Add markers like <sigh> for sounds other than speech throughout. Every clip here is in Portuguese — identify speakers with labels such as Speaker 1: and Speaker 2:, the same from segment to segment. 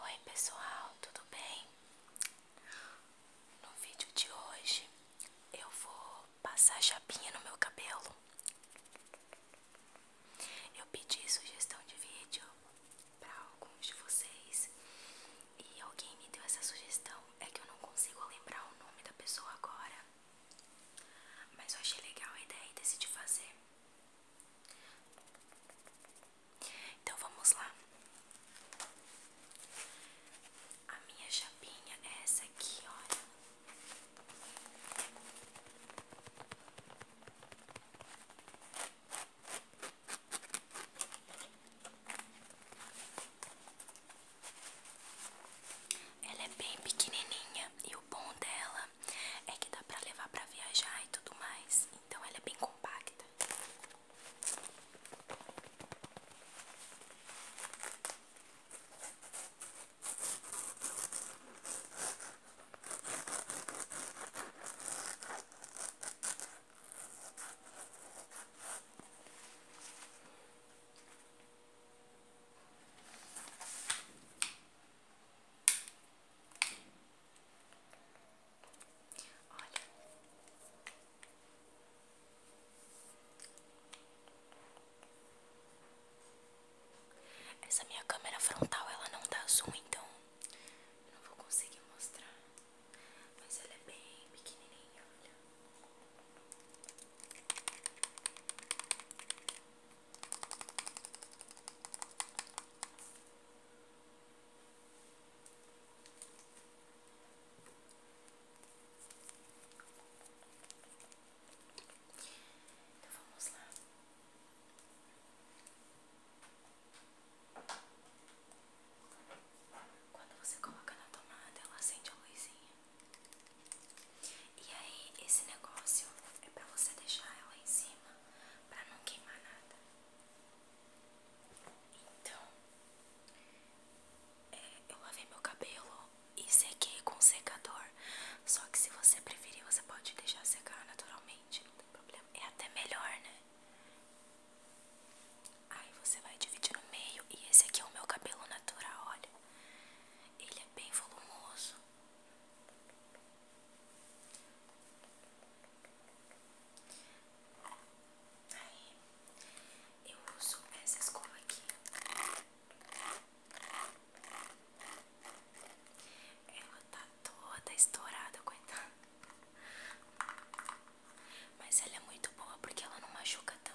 Speaker 1: Oi pessoal, tudo bem? No vídeo de hoje eu vou passar chapinha no meu cabelo. Eu pedi sugestão de vídeo para alguns de vocês e alguém me deu essa sugestão. É que eu não consigo lembrar o nome da pessoa agora, mas eu achei legal a ideia e decidi fazer. Então vamos lá. A minha chapinha é essa aqui, olha. Ela é bem pequenininha e o bom dela é que dá para levar para viajar e tudo mais. Então ela é bem compacta. Olha, essa minha câmera frontal ela não dá tá zoom, então não vou conseguir mostrar, mas ela é bem pequenininha, olha. Então, lá. Quando você coloca na tomada, ela acende a luzinha. E aí, esse negócio é pra você deixar ela em cima, pra não queimar nada. Então, é, eu lavei meu cabelo e sequei com um secador. Só que se você preferir, você pode deixar secar naturalmente não tem problema. É até melhor, né? Aí você vai dividir no meio. E esse aqui é o meu cabelo natural, olha. Ele é bem volumoso. Aí, eu uso essa escova aqui. Ela tá toda estourada, coitada. Mas ela é muito boa porque ela não machuca tanto.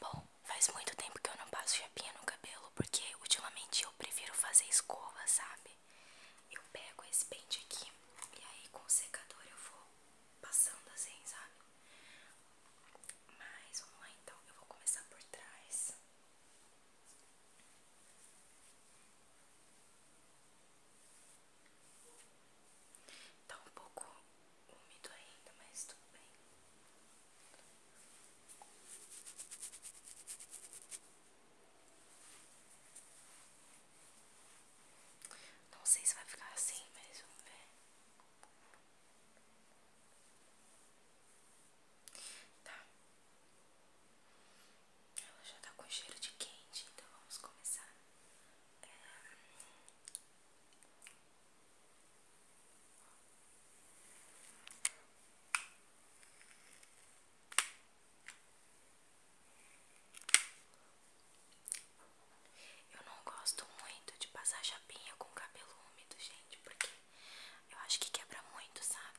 Speaker 1: Bom, faz muito tempo que eu não passo chapinha no cabelo, porque ultimamente eu prefiro fazer escova, sabe? Eu pego esse pente aqui e aí com o secador eu vou passando assim, sabe? Mas vamos lá então, eu vou começar por trás. Tá um pouco úmido ainda, mas tudo bem. Não sei se vai ficar assim, mas vamos ver. Tá, ela já tá com cheiro de quente, então vamos começar. Eu não gosto muito de passar chapinha com cabelo úmido, gente, porque eu acho que quebra muito, sabe?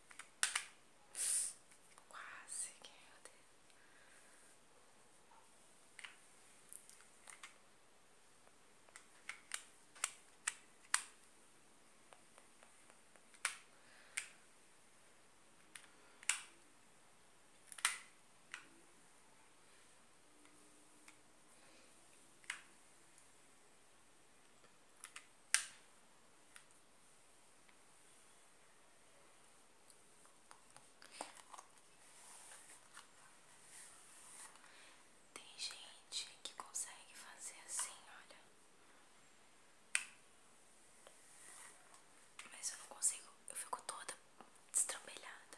Speaker 1: Quase que meu Deus. Quase tem gente que consegue fazer assim, olha. Mas eu não consigo, eu fico toda destrambelhada.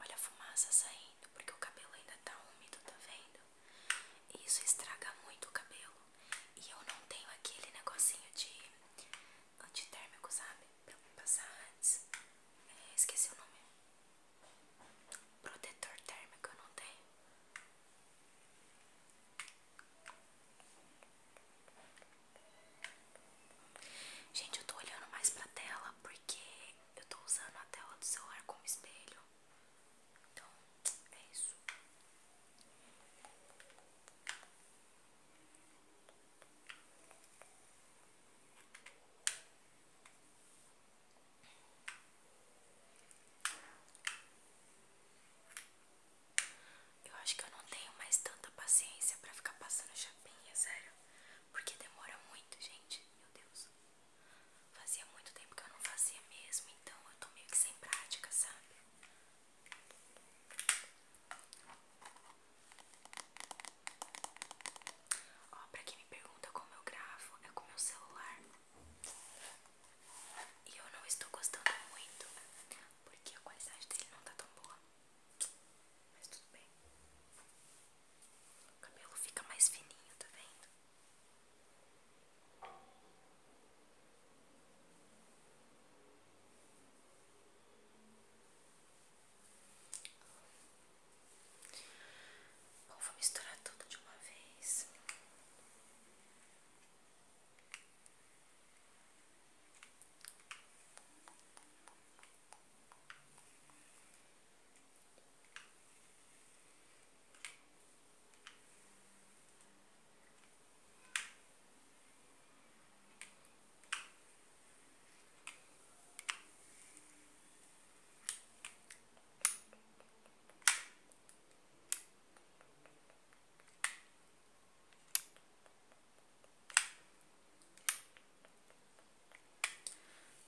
Speaker 1: Olha a fumaça saindo, porque o cabelo ainda está úmido, tá vendo? isso estraga muito o cabelo. E eu não tenho aquele negocinho de antitérmico, sabe? Pra passar antes. É, esqueci o nome. Protetor térmico eu não tenho. Gente, eu tô olhando mais pra tela porque eu tô usando a tela do celular como espelho. Então, é isso. Eu acho que eu não tenho mais tanta paciência pra ficar passando chapinha, sério. Porque demora muito, gente. Meu Deus. Fazia muito tempo que eu não fazia mesmo, então eu tô meio que sem prática, sabe? Ó, pra quem me pergunta como eu gravo, é com o celular. E eu não estou gostando muito, porque a qualidade dele não tá tão boa. Mas tudo bem. O cabelo fica mais fininho, tá vendo? Bom, vou misturar tudo de uma vez.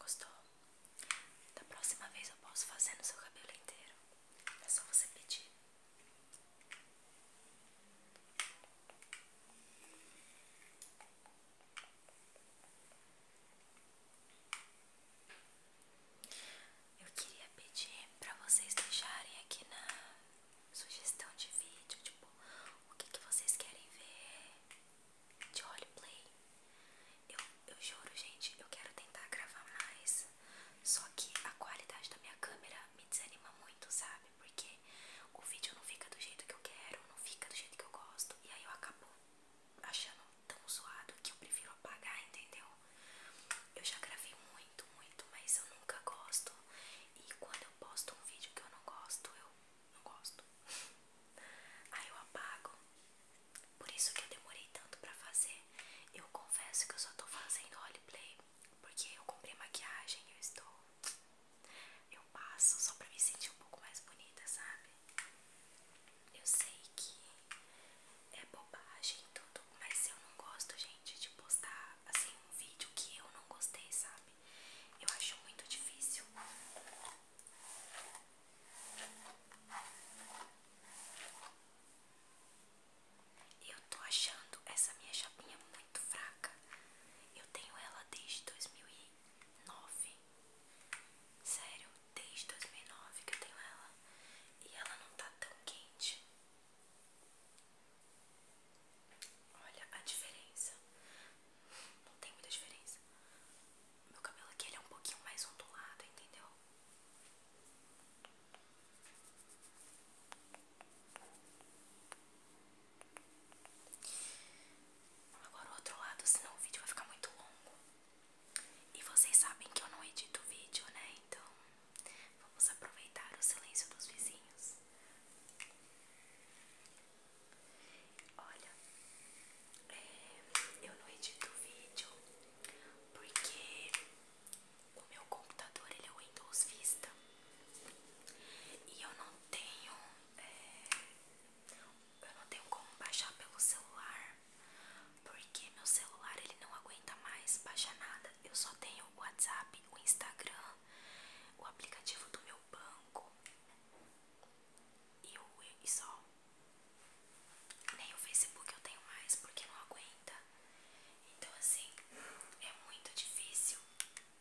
Speaker 1: Gostou? Da próxima vez eu posso fazer no seu cabelo inteiro. É só você pedir. Eu queria pedir para vocês deixarem aqui na sugestão de vídeo, tipo, o que, que vocês querem ver de roleplay. Eu, eu juro, gente, eu quero tentar gravar mais. Só que a qualidade da minha câmera me desanima muito, sabe? Porque o vídeo não fica do jeito que eu quero, não fica do jeito que eu gosto. E aí eu acabo achando tão zoado que eu prefiro apagar, entendeu? Eu já gravei muito, muito, mas eu nunca gosto. E quando eu posto um vídeo que eu não gosto, eu não gosto. <laughs> Aí eu apago. Por isso que eu demorei tanto pra fazer. Eu confesso que eu só tô fazendo roleplay porque eu comprei maquiagem e eu estou. Eu passo só pra me sentir um pouco mais bonita, sabe? Eu sei que é bobagem e tudo, mas eu não gosto, gente, de postar assim um vídeo que eu não gostei, sabe? Eu acho muito difícil. Eu tô achando essa minha chapinha muito fraca. Eu tenho ela desde 2009. Sério, desde 2009 que eu tenho ela. E ela não tá tão quente. Olha a diferença. Não tem muita diferença. Meu cabelo aqui é um pouquinho mais ondulado, entendeu? Agora o outro lado, senão o vídeo vai ficar muito longo. E vocês sabem que eu não edito vídeo, né? Então vamos aproveitar o silêncio dos vizinhos. Olha, é, eu não edito vídeo porque o meu computador ele é o Windows Vista e eu não tenho é, eu não tenho como baixar pelo celular porque meu celular ele não aguenta mais baixar nada eu só tenho o WhatsApp o Instagram o aplicativo do meu banco e, o, e só nem o Facebook eu tenho mais porque não aguenta. Então, assim, é muito difícil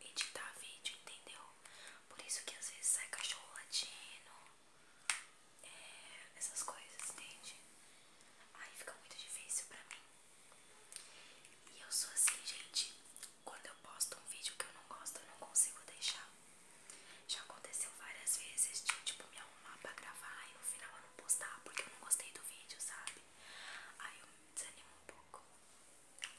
Speaker 1: editar vídeo, entendeu? Por isso que às vezes sai cachorro latino, é, essas coisas, entende? Aí fica muito difícil pra mim. E eu sou assim, gente. Quando eu posto um vídeo que eu não gosto, eu não consigo deixar. Já aconteceu várias vezes de tipo me arrumar pra gravar e no final eu não postar porque eu não gostei do vídeo, sabe? Aí eu me desanimo um pouco. Ai,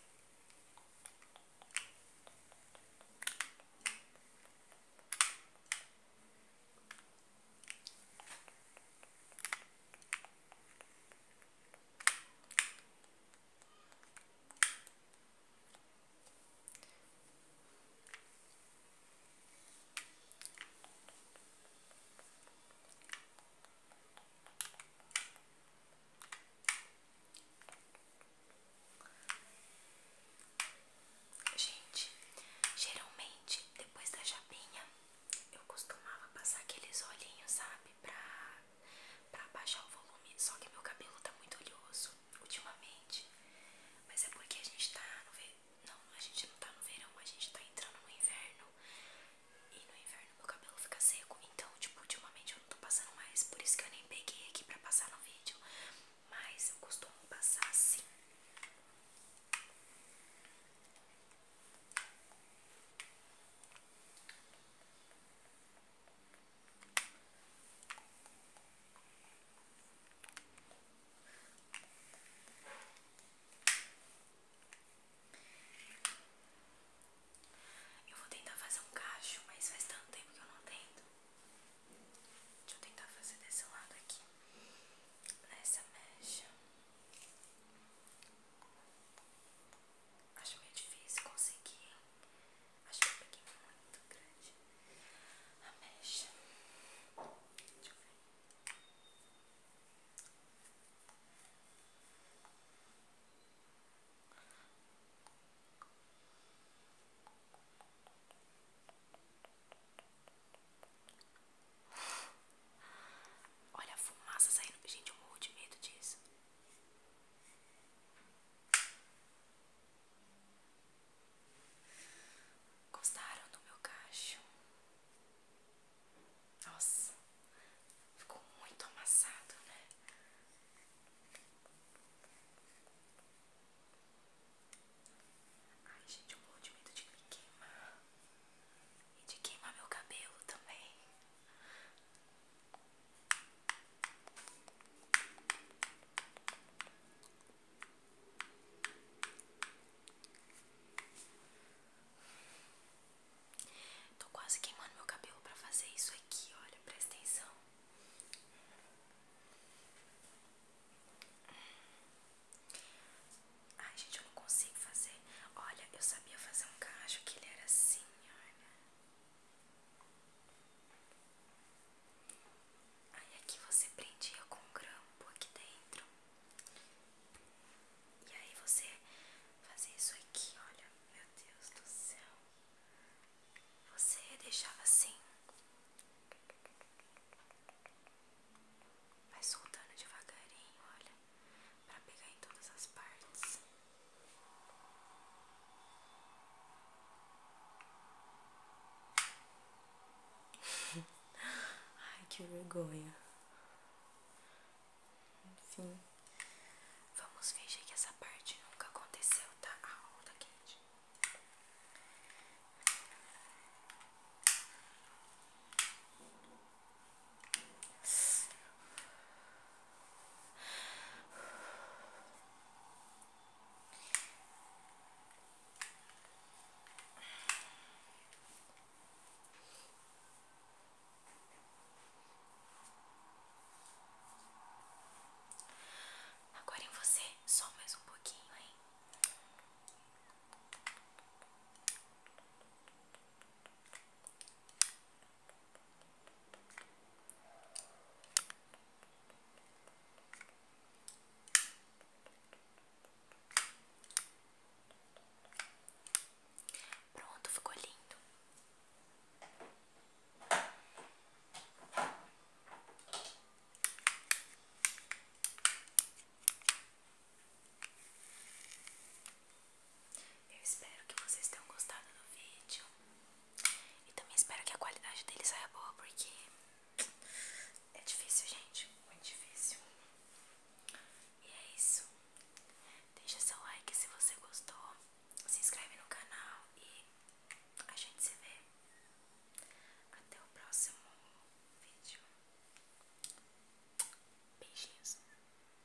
Speaker 1: Gente, geralmente depois da chapinha eu costumava passar aqueles olhinhos, sabe? Pra, pra baixar o volume. Só que meu cabelo tá muito oleoso ultimamente, mas é porque a gente tá no verão. Não, a gente não tá no verão, a gente tá entrando no inverno. E no inverno meu cabelo fica seco. Então, tipo, ultimamente eu não tô passando mais. Por isso que eu nem peguei aqui pra passar no vídeo. Mas eu costumo passar assim. Eu vou tentar fazer um cacho, mas faz tanto tempo que eu não tento. Deixa eu tentar fazer desse lado aqui, nessa mecha. Acho meio difícil conseguir Acho que eu muito grande a Deixa eu ver. Olha a fumaça saindo. Gente, eu morro de medo disso. Gostaram do meu cacho? Nossa, ficou muito amassado, né? Ai, gente, eu morro de medo de me queimar e de queimar meu cabelo também. Tô quase queimando meu cabelo pra fazer isso aqui, olha, presta atenção. Ai, gente, eu não consigo fazer. Olha, eu sabia fazer um cacho que ele era assim, olha. Aí aqui você prendia com um grampo aqui dentro. E aí você fazia isso aqui, olha, meu Deus do céu. Você deixava assim. Vai soltando devagarinho, olha, para pegar em todas as partes. Ai, que vergonha. Enfim. Vamos fingir que essa parte nunca aconteceu, tá? Ah, tá quente. Agora em você, só mais um pouquinho, hein? Pronto, ficou lindo. Eu espero que vocês tenham gostado do vídeo. E também espero que a qualidade dele saia boa, porque é difícil, gente. Muito difícil. E é isso. Deixe seu like se você gostou. Se inscreve no canal e a gente se vê. Até o próximo vídeo. Beijinhos.